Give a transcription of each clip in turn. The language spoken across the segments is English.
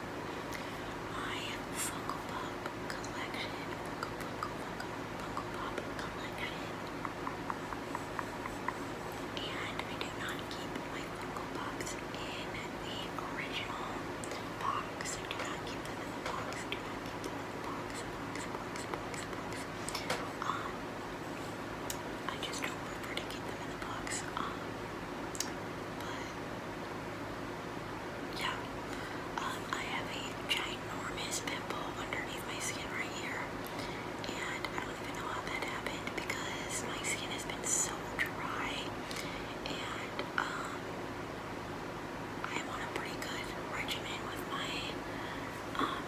my Funko Pop collection. Funko, Funko, Funko, Pop collection. And I do not keep my Funko Pops in the original box. I do not keep them in the box. I do not keep them in the box. Um, I just don't prefer keep them in the box. Um, but yeah, um, I have a ginormous pimple underneath my skin right here, and I don't even know how that happened because my skin has been so dry, and um, I'm on a pretty good regimen with my um,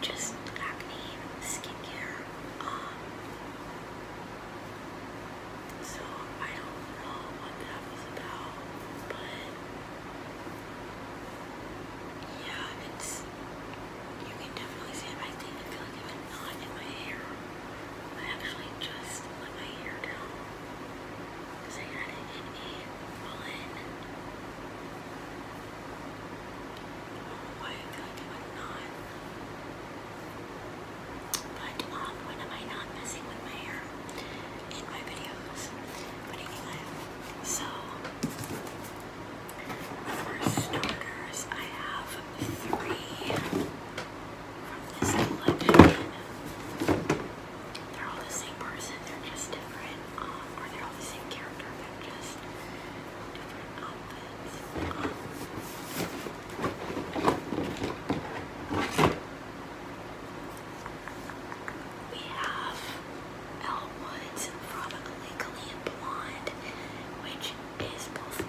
just acne skincare. Um, so I don't know what that was about, but yeah, it's you can definitely see it. I feel like I have in my hair. I actually just let my hair down because I had it in a bun. I don't but um, when am I not messing with my hair in my videos? But anyway, so for starters, I have three from this collection. They're all the same person, they're just different, um, or they all the same character, they're just different outfits. We have Elwood's from Legally Blonde, which is both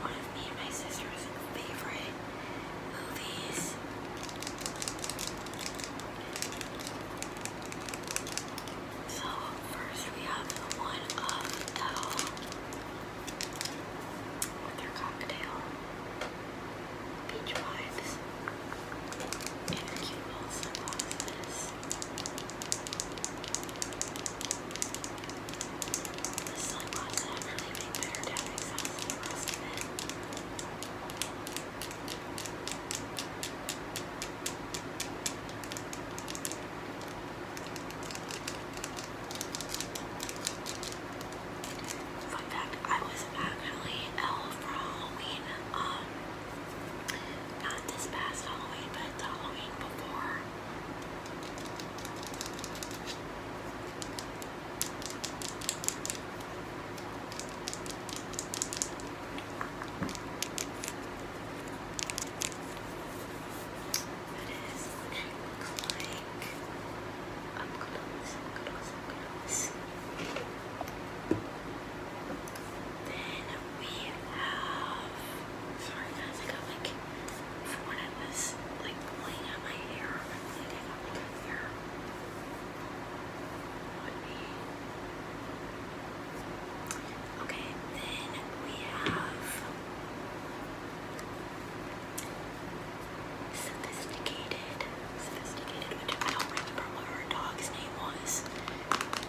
one of me and my sister's favorite movies. So first we have one of L with your cocktail, beach vibes, and your cute little sunglasses. The sunglasses actually make better tapping sounds than the rest of it. I Fun fact, I was actually ill for Halloween, um, not this past Halloween, but Halloween before. That is what Then we have. Sorry guys, I got like from when I was like pulling out my hair, my hair. Okay, then we have Sophisticated. Sophisticated, which I don't remember what her dog's name was.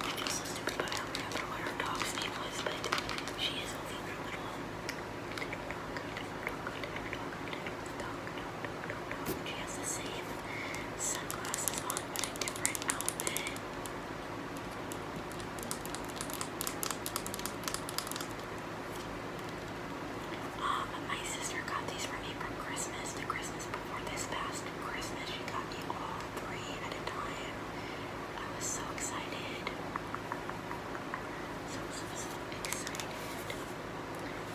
I feel so stupid, but I don't remember what her dog's name was, but she is a little, little dog, little dog, little dog, little dog, dog, dog. She has the same sunglasses on, but a different outfit. Um, my sister got these for me from Christmas. The Christmas before this past Christmas, she got me all three at a time. I was so excited. So, so, excited.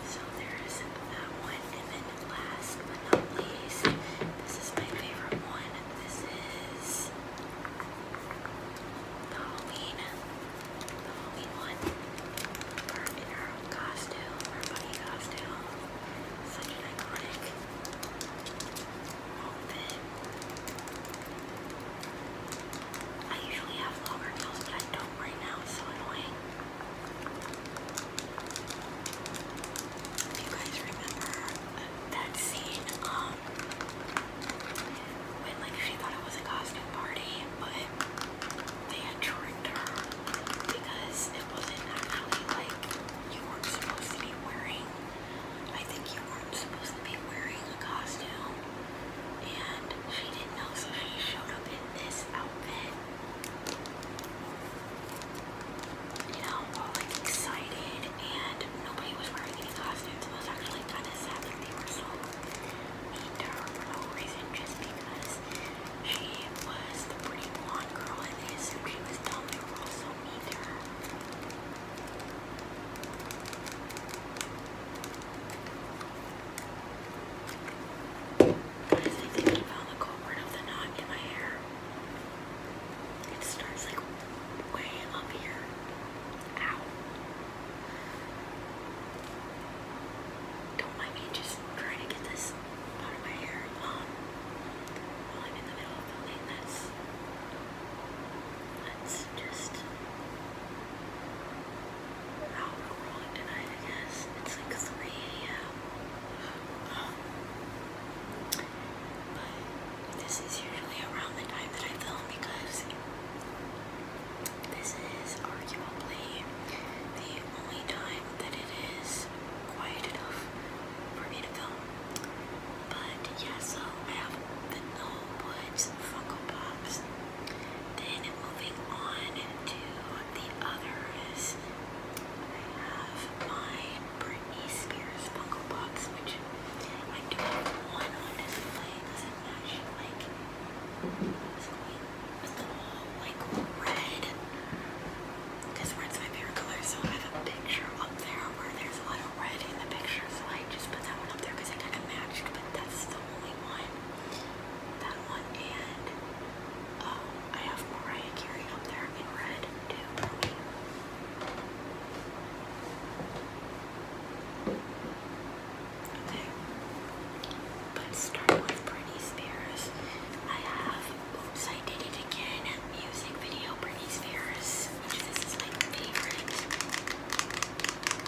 So there's that one. And then last but not least, this is my favorite one. This is the Halloween, the Halloween one, in her costume, her bunny costume, such an iconic outfit. I usually have longer nails, but I don't right now, it's so annoying. If you guys remember that scene um when like she thought it was a costume party but they tricked her because it wasn't like you weren't supposed to be wearing I think you weren't supposed to be wearing a costume and she didn't know so she showed up in this outfit you know, all like excited and nobody was wearing any costumes. It was actually kind of sad that they were so mean to her for no reason, just because she was the pretty blonde girl and they assumed she was dumb. They were all mean to her. I think I found the culprit of the knot in my hair. It starts like way up here. Ow. Don't mind me just trying to get this out of my hair. Um, while I'm in the middle of filming this, let's just. I'll tonight, I guess. It's like 3 a.m. Um, but this is usually around the time that I film because this is arguably the only time that it is quiet enough for me to film. But yeah, so I have the No Woods Funko Pops. Then moving on to the others, I have my Britney Spears Funko Pops, which I'm doing one on his legs and that should like it's going with the whole like red because red's my favorite color so I have a picture up there where there's a lot of red in the picture so I just put that one up there because I kind of matched but that's the only one that one and um, I have Mariah Carey up there in red too for me. Okay, but start with Britney Spears. I have, oops, I did it again, music video Britney Spears, which this is my favorite.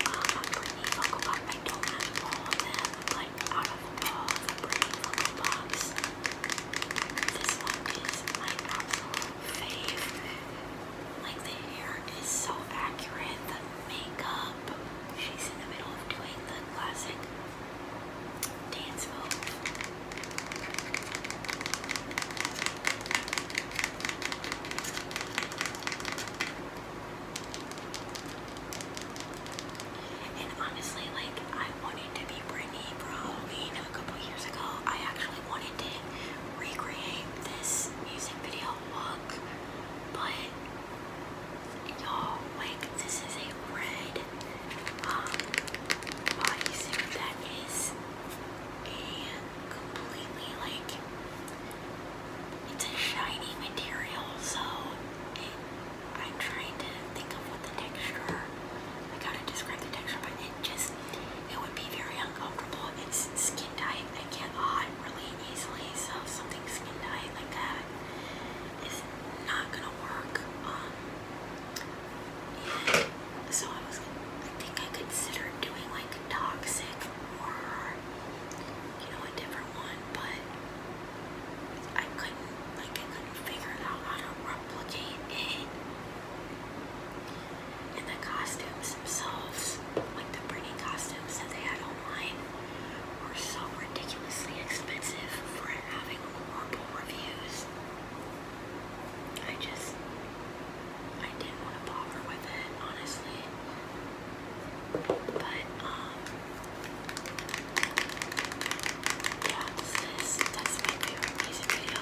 Uh, Britney I don't have all of them, but out of all Britney this one is my absolute like the hair is so accurate, the makeup. She's in the middle of doing the classic dance move. And honestly, like I wanted to be Britney for a couple years ago. I actually wanted to recreate this music video look, but y'all, like, this is a red um, bodysuit that is completely like it's a shiny material, so I'm trying to think of what the texture. I gotta describe the texture, but just it would be very uncomfortable. It's skin tight. I get hot really easily, so something skin tight like that is not gonna work. Um, and so I was, I think I considered doing like a toxic or you know a different one, but I couldn't like I couldn't figure out how to replicate it. And the costumes themselves, like the pretty costumes that they had online, were so ridiculously expensive for having horrible reviews. I just, I didn't want to bother with it, honestly. But, um, yeah, that's this. That's my favorite music video.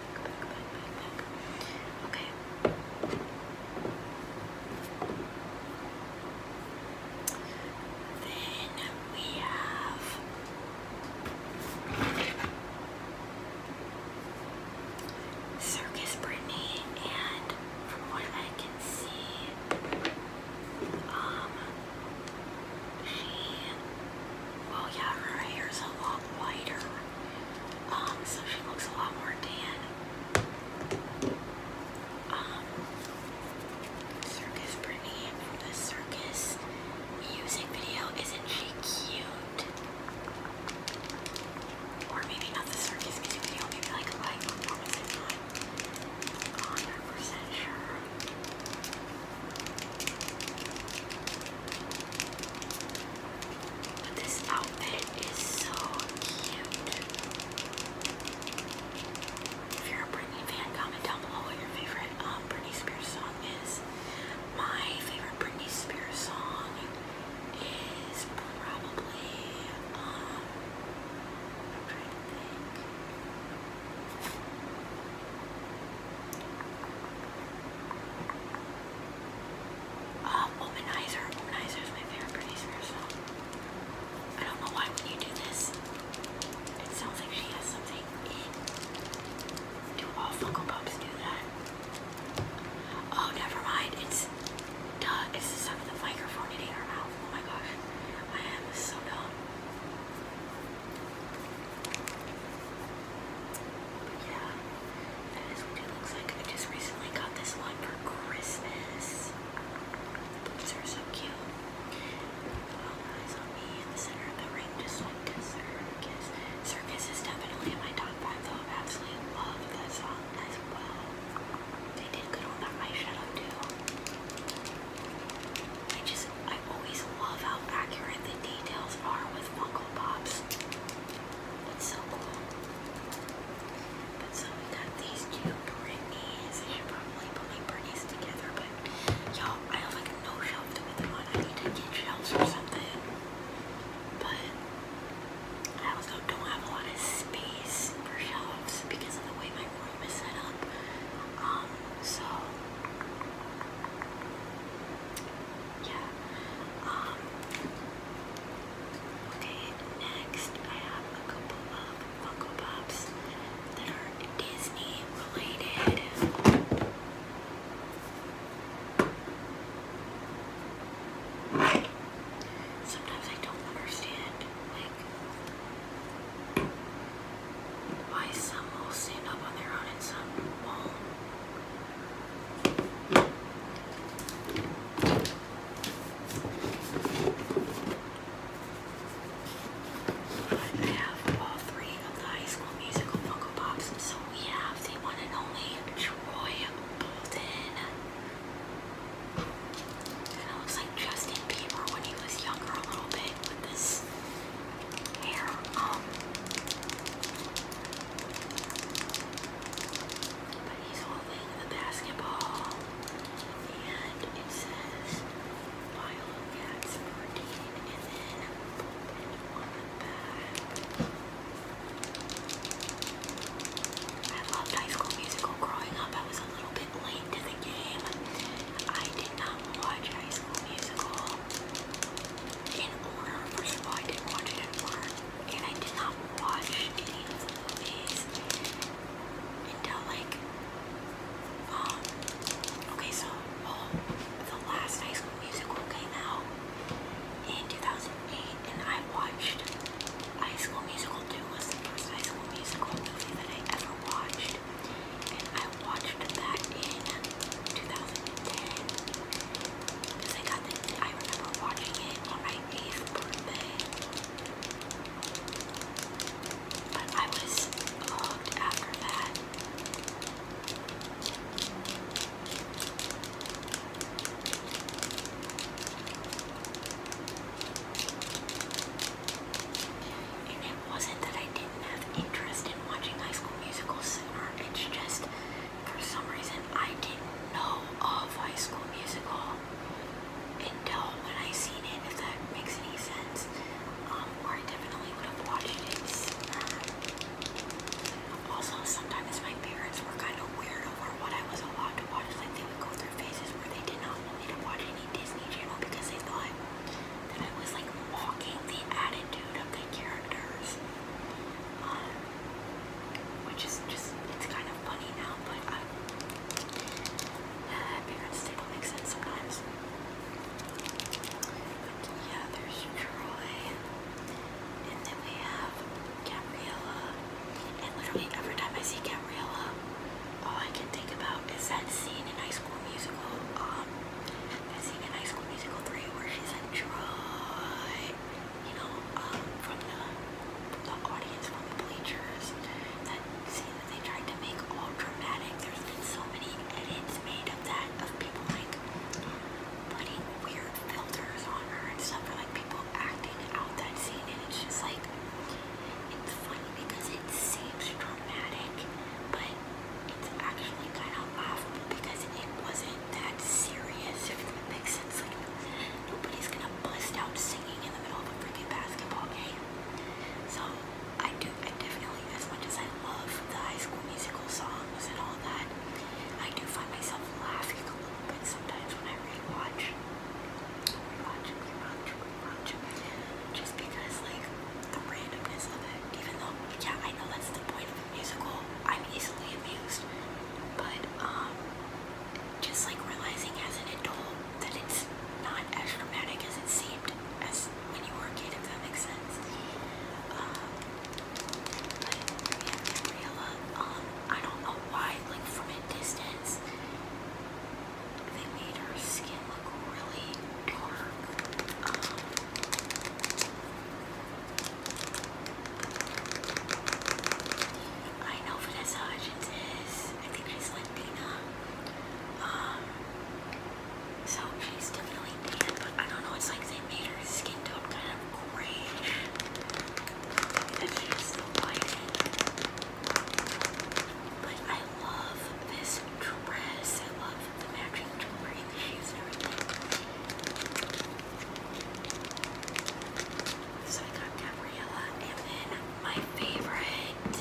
Then we have Circus Brittany, and from what I can see, um, she, well, yeah, her hair's a lot wider. Um, so she looks a lot more tan. Um, Circus Brittany from the Circus music video. Isn't she cute? Or maybe not the Circus music video, maybe like a live performance. not 100% sure this outfit is so cute. If you're a Britney fan, comment down below what your favorite um, Britney Spears song is. My favorite Britney Spears song is probably, um, I'm trying to think. Um, womanizer. Womanizer is my favorite producer, so I don't know why you do this, it sounds like she has something in. Do all Funko Pops do that? Oh, never mind. It's duh. It's the sound of the microphone hitting her mouth. Oh my gosh, I am so dumb yeah, that is what it looks like. I just recently got this one for Christmas. The boots are so cute. eyes on me in the center of the ring, just like circus. Circus is definitely my top five, I absolutely love that song as well. They did good on that eyeshadow too. I just I always love how accurate the details are with Funko Pops. It's so cool. But so we got these two Britney's. I should probably put Britney's together, but y'all, I have like no shelf to put them on. I need to get shelves or something. But I also don't have a lot of space for shelves because of the way my room is set up. Um, so yeah. Um, okay, next I have a couple of Funko Pops that are Disney related. Sometimes I don't understand, like, why some will stand up on their own and some won't. I have all three of the High School Musical Funko Pops, so we have the one and only Troy Bolton. Kind of looks like Justin Bieber when he was younger a little bit with this hair um but he's holding the basketball and it says Viola Cats 14 and then on the back. I loved High School Musical growing up. I was a little bit late to the game. I did not watch High School Musical in order. First I didn't watch it in and I did not watch any of the until like, um, okay, so the last High School Musical came out in 2008, and I watched High School Musical 2 was the first High School Musical movie that I ever watched, and I I watched that in 2010 because I got the, I remember watching it on my 8th But I was hooked after that wasn't that I didn't have interest in watching High School Musical sooner. It's just for some reason I didn't know of High School Musical until when I seen it, if that makes any sense. Um, or I definitely would have watched it Also, sometimes my parents were kind of weird over what I was allowed to watch. Like, they would go through phases where they did not want me to watch any Disney Channel because they thought that I was like walking the attitude of the characters. Um, which is just, it's kind of funny now, but I, uh, uh, parents still don't make sense sometimes. But yeah, there's Troy, and then we have Gabriella, and literally every time I see Gabriella, all I can think about is that scene in High School Musical, um, I and in High School Musical 3 where she's like, try, you know, um, from the, from the audience, from the bleachers, that see that they tried to make all dramatic. There's been so many edits made of that, of people like putting weird filters on her and stuff, or like people acting out that scene, and it's just like, it's funny because it seems dramatic, but it's actually kind of laughable because it wasn't that serious, if it makes sense. Like, nobody's gonna bust out singing in the middle of a freaking basketball game. So, I do, I definitely, as much as I love the high school musical songs and all that, I do find myself laughing a little bit sometimes when I rewatch. Rewatch, rewatch. Just because, like, the randomness of it, even though, yeah, I know that's the point of a musical. I'm easily amused, but um, just like realizing as an adult that it's not as dramatic as it seemed as when you were a kid, if that makes sense. Um, but Gabriella, um, I don't know why, like from a distance, they made her skin look really dark. Um, I know Vanessa Hudgens is, I think she's Latina, um, so she's definitely tan, but I don't know, it's like they made her skin tone kind of grayish, but I love this dress, I love the matching So I got Gabriella, and my favorite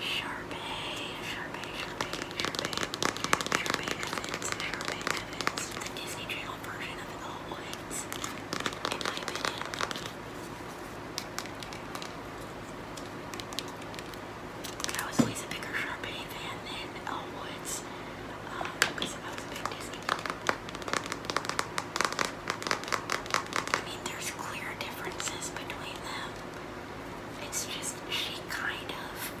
Sharpay, Sharpay, Sharpay, Sharpay, Evans, Sharpay Evans, the Disney Channel version of the Woods, in my opinion. I was always a bigger Sharpay fan than Elwood's um, because I big Disney I mean, there's clear differences between them. It's just she kind of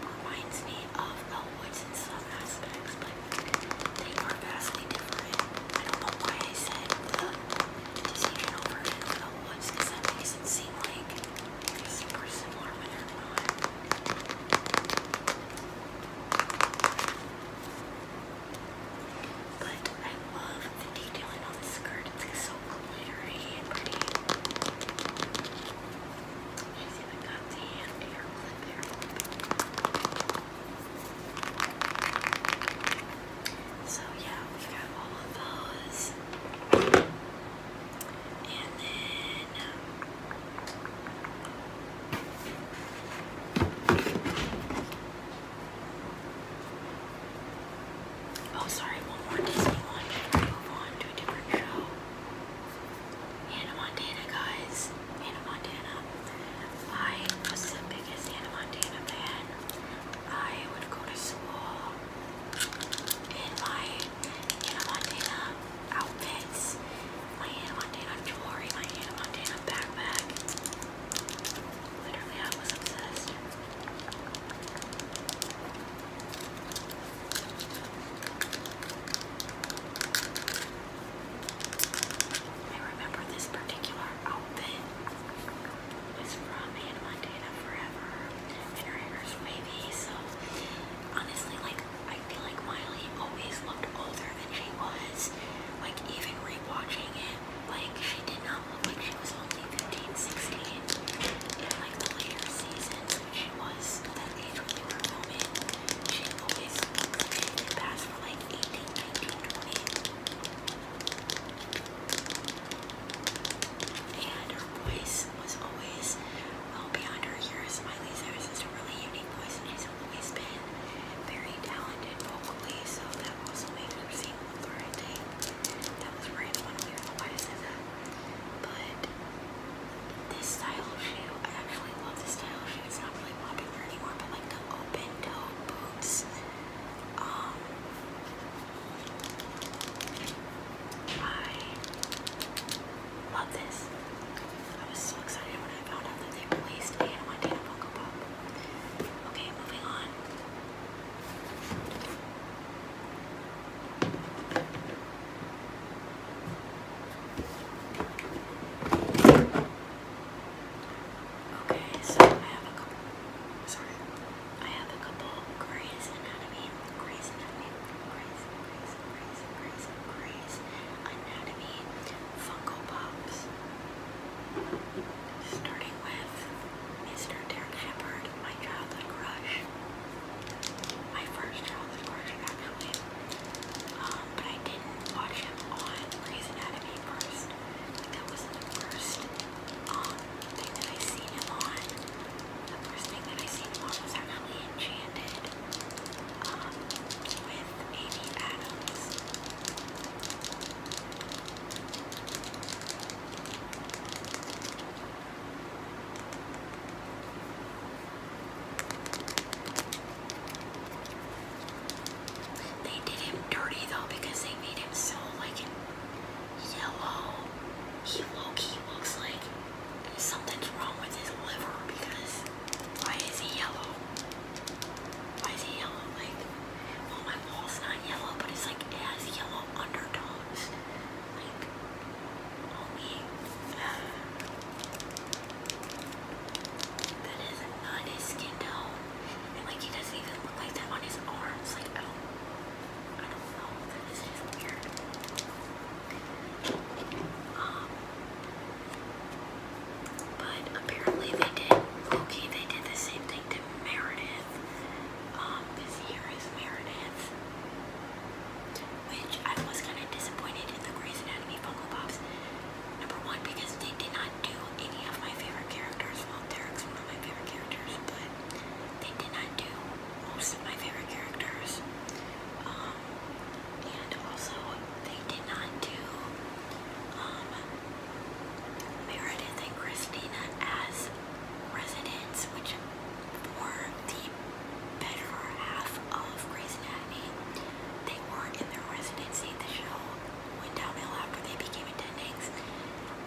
reminds me of Elwood's in some aspects, but they are vastly different. I don't know why I said Disney Channel version that makes it seem like but I love the detailing on the skirt. It's so glittery and pretty. She's even got the hair clip there. So yeah, we got all of those. Um, oh, sorry, one more Disney one move on to a different show. Hannah Montana, guys. Hannah Montana. I was the biggest Hannah Montana fan. I would go to school in my Hannah Montana outfits, my Hannah Montana jewelry, my Hannah Montana backpack. Literally, I was obsessed. I remember this particular outfit. Was from and Montana Forever, and her hair is wavy, so honestly, like, I feel like Miley always looked older than she was, like, even rewatching it, like, she did not look like she was only 15, 16, in, like, the later seasons, she was that age when they were she always looked like like, 18, 19, 20. And her voice was always well beyond her years. Miley Cyrus has a really unique voice, and she's always been very talented vocally, so that also makes her seem older, I think. That was right one of the why I said that. But this style shoe, I actually love this style shoe. It's not really popular anymore, but like the open toe boots. I um, I love this. I was so excited when I found out that they released a Montana Funko Pop. Okay, moving on. Okay, so I have a couple. Sorry. I have a couple Grey's Anatomy, Grey's Anatomy, Grey's, Grey's, Grey's, Grey's, Anatomy Funko Pops. Starting with Mr. Derek Shepard, my childhood crush. My first childhood crush, actually. Um, but I didn't watch him on Grey's Anatomy first. That was the first um, thing that I seen him on. The first thing that I seen him on was Enchanted um, with Amy Adams. They did him dirty though because they made him so like yellow. He low-key looks like something's wrong with his liver because why is he yellow? Why is he yellow? Like, well, oh, my wall's not yellow, but it's like it has yellow undertones. Like, oh uh, that is not his skin tone. And like, he doesn't even like that on his arms. Like, but apparently they did, okay, they did the same thing to Meredith. Um, this here is Meredith. Which I was kind of disappointed in the Grey's Anatomy Funko Pops. Number one, because they did not do any of my favorite characters. Well, Derek's one of my favorite characters, but they did not do most of my favorite characters. Um, and also, they did not do um, Meredith and Christina as residents, which were the better half of Grey's Anatomy. They were in their residency. The show went downhill after they became attendings,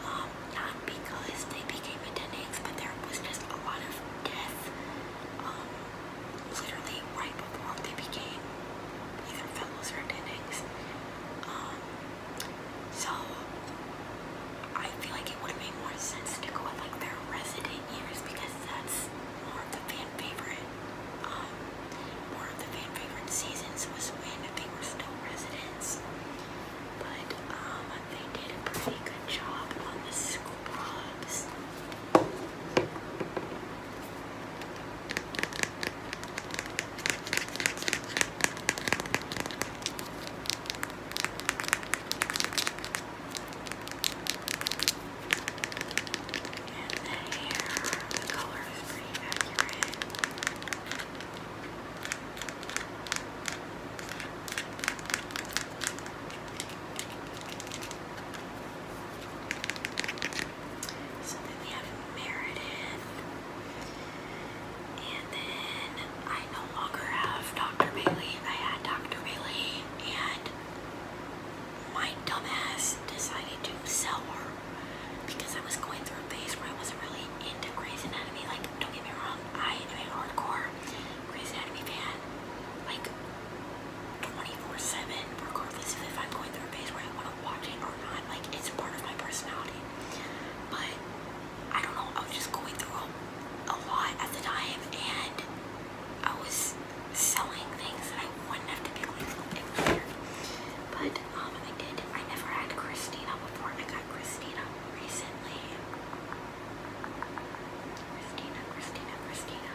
um, not because they became addicts, but there was just a lot of death, um, literally right before they became either fellows or attendings. Um, so I feel like it would have made more sense to go with like their resident years because that's more of the fan favorite. Um, more of the fan favorite seasons was when they were still residents. But um, they did a pretty good job on the scrubs. And the hair, the color is pretty accurate. So then we have Meredith. And then I no longer have Dr. Bailey. I had Dr. Bailey and my dumbass decided to sell her because I was going through a phase where I wasn't really into *Crazy Enemy*. Like, don't get me wrong, I am a hardcore *Crazy Enemy* fan, like 24/7, regardless of if I'm going through a phase where I want to watch it or not. Like, it's part of my personality. But I don't know, I was just going through a, lot at the time, and I was selling things that I wouldn't have typically sold. It was but um, I did. I never had Christina before. I got Christina recently. Christina, Christina, Christina.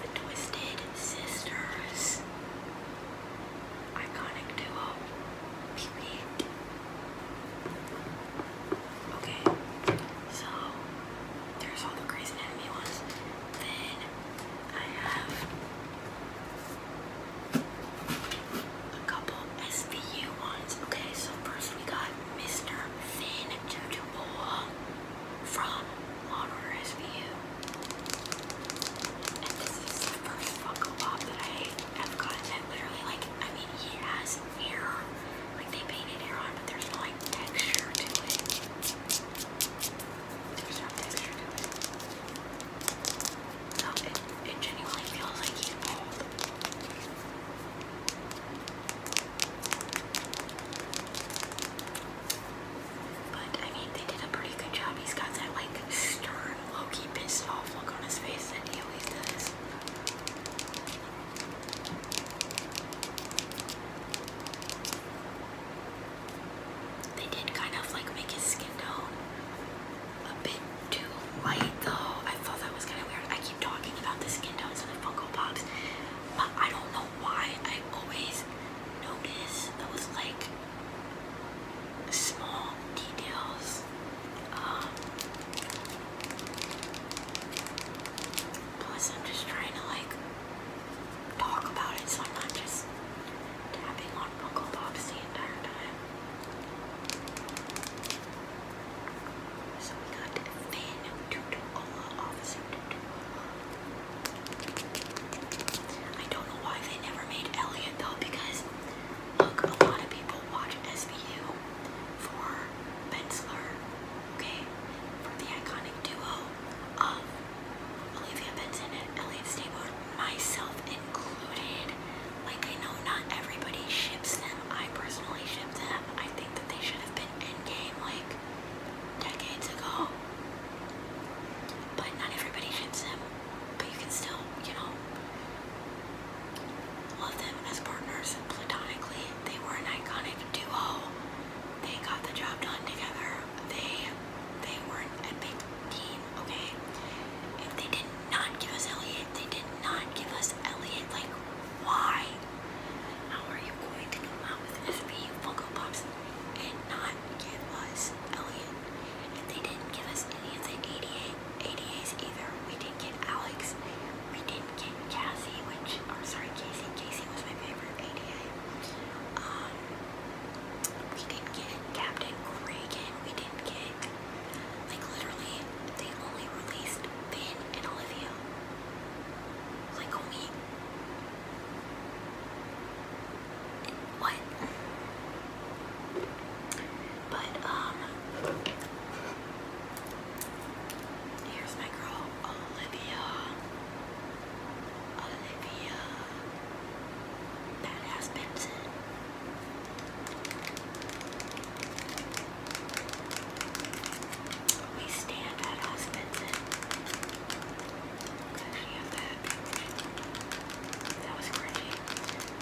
The Twisted Sisters iconic duo. Okay, so there's all the Grey's Anatomy ones. Then I have a couple SVU ones. Okay, so first we got Mr. Finn Dubois from Law and Order SVU. And this is the first Funko Pop that I have gotten that literally, like, I mean, he has hair. Like, they painted hair on, but there's no, like, texture to it. There's no texture to it. So, it, it genuinely feels like he's bald. I but I mean, they did a pretty good job. He's got that like stern, low-key pissed off look on his face that he always does. They did kind of like make his skin tone a bit too light though. I thought that was kind of weird. I keep talking about the skin tones and the Funko Pops, but I don't know why I always notice those like small details. Um, plus, I'm just trying to like talk about it, so I'm not just tapping on Funko Pops the entire time. So we got Finn, Tutola, Officer Tutola. I don't know why they never made Elliot though, because look, a lot of people watch SVU for Bensler, okay, for the iconic duo of Olivia Benson and Elliot Stable, myself included. Like I know not everybody ships them. I personally ship them. I think that they should have been in game like decades ago. But not everybody ships them but you can still, you know, love them as partners platonically. They were an iconic duo. They got the job done together. They they were a big team, okay? If they did not give us Elliot, they did not give us Elliot. Like, why? How are you going to come out with SB Funko Pops and not give us Elliot. they didn't give us any of the ADAs either. We didn't get Alex. We didn't get Cassie, which, or sorry, Casey. Casey was my favorite ADA. Um, we didn't get Captain Reagan. We didn't get, like literally, they only released Ben and Olivia. Like only what? But um here's my girl Olivia. Olivia Badass Benson. We stand at Benson. That was cringy.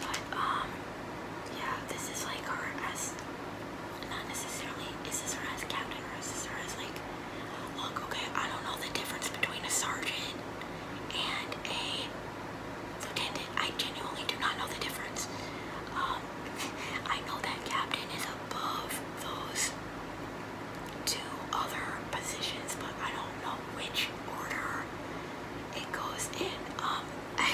But, um, yeah, this is like her as, not necessarily, is this her as captain or is this her as like, okay, I don't know the difference between a sergeant and a lieutenant. I genuinely do not know the difference. Um, I know that captain is above those two other positions, but I don't know which order it goes in. Um,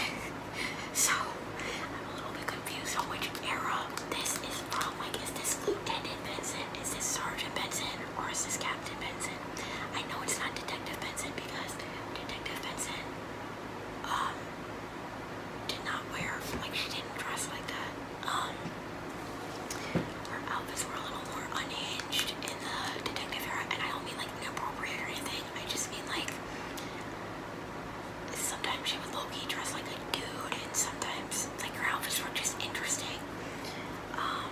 so I'm a little bit confused on which era this is from. Like, is this Lieutenant Benson? Is this Sergeant Benson? Or is this Captain Benson? I know it's not Detective Benson because Detective Benson, um, did not wear like she didn't dress like that. Um, her outfits were a little more unhinged in the detective era, and I don't mean like inappropriate or anything. I just mean like sometimes she would low-key dress like a dude, and sometimes like her outfits were just interesting. Um,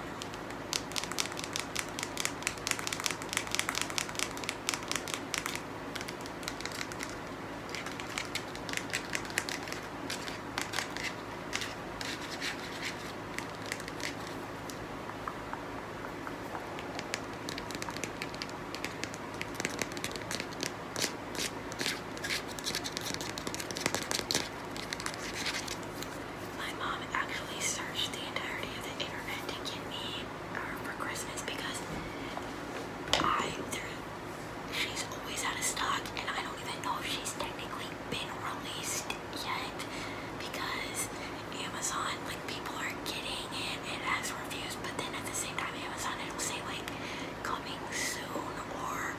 my mom actually searched the entirety of the internet to get me her uh, for Christmas because I, she's always out of stock and I don't even know if she's technically been released yet because Amazon, like people are getting it, it has reviews, but then at the same time Amazon it'll say like coming soon or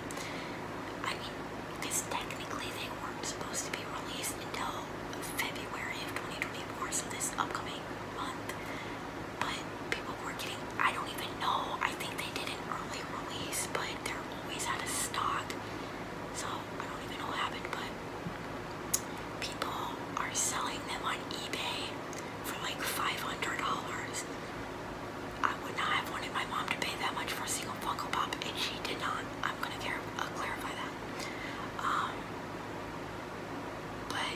I mean because technically they weren't supposed to be released until February of 2024, so this upcoming month. But people were getting, I don't even know, I think they did an early release, but they're always out of stock. So I don't even know what happened, but people are selling them on eBay for like $500. I would not have wanted my mom to pay that much for a single Funko Pop, and she did not. I'm gonna uh, clarify that. Um, but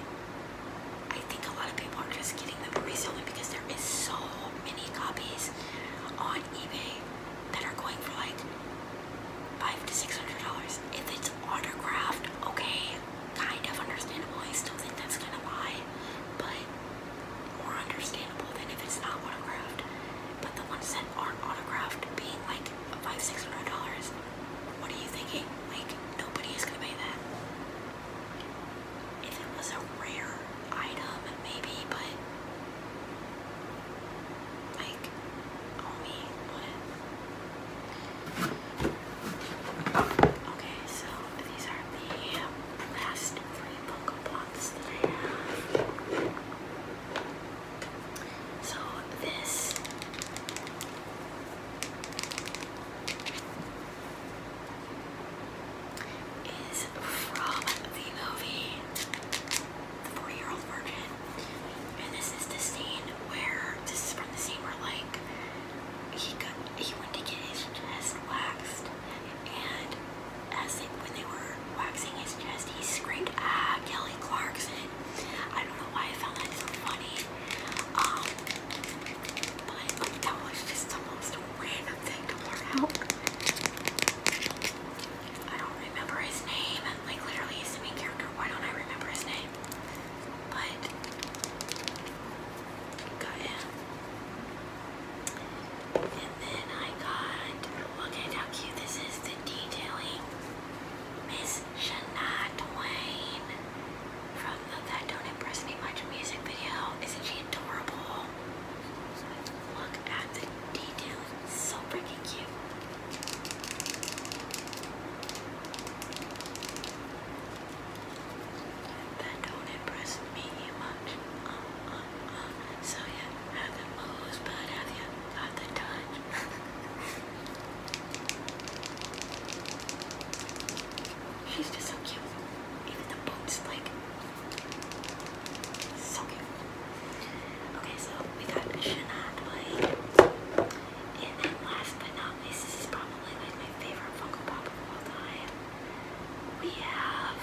I think a lot of people are just getting them for reselling because there is so many copies on eBay that are going for like five to six hundred dollars. If it's autographed, okay, kind of understandable. I still think that's kind of high, but more understandable than if it's not autographed. But the ones that aren't autographed being like five, six hundred dollars, what are you thinking? Like nobody is gonna pay that. If it was a rare item, maybe, but like, oh me, what? Okay, so these are the last three Pokepots that I have. So this is from the movie The 40 Year Old Virgin. And this is the scene where, this is from the scene where, like, he got, he went to get his chest waxed. And as they, when they were waxing his chest, he screamed, ah, Kelly Clarkson. I don't know why I found that so funny. Um, but that was just the most random thing to learn out. I don't remember his name. Like literally he's main character. Why don't I remember his name? But got him. And then I got look at how cute this is, the detailing. Miss Shania Twain from That Don't Impress Me Much music video. Isn't she adorable? Look at the so freaking cute. That don't impress me much. Uh, uh, uh. So yeah, have the moves, but have you got the touch? She's just so cute. Even the boots, like, so cute. Okay, so we got Shenandoah. Like, and then last but not least, this is probably like my favorite Funko Pop of all time. We have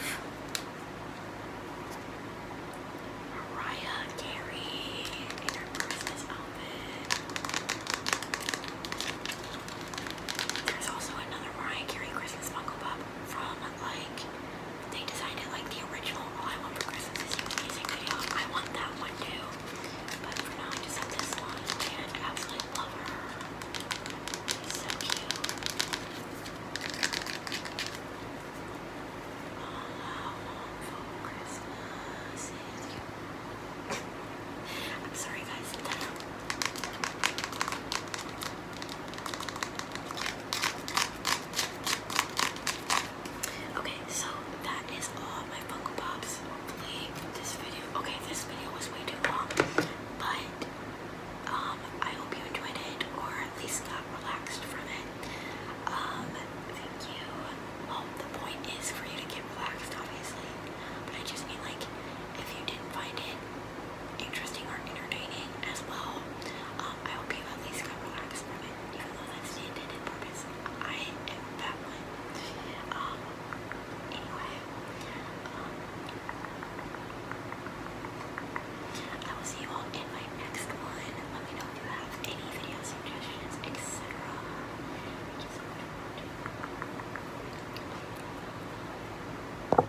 Mariah Carey in her Christmas outfit. There's also another Mariah Carey Christmas Funko Pop from like they designed it like the original I Want for Christmas I want that one too. But for now I just have this one and I absolutely love her. She's so cute. I am sorry guys, Okay, so that is all my Funko Pops. this video, okay, this video was way too long, but um, I hope you enjoyed it or at least got relaxed from it. Um, thank you. Well, the point is for you to get relaxed, obviously, but I just mean like if you didn't find it interesting or entertaining as well. Um, I hope you at least got relaxed even though that's the intended purpose. I am that one. Um, anyway, um, I will see you all in my next one. Let me know if you have any video suggestions, etc.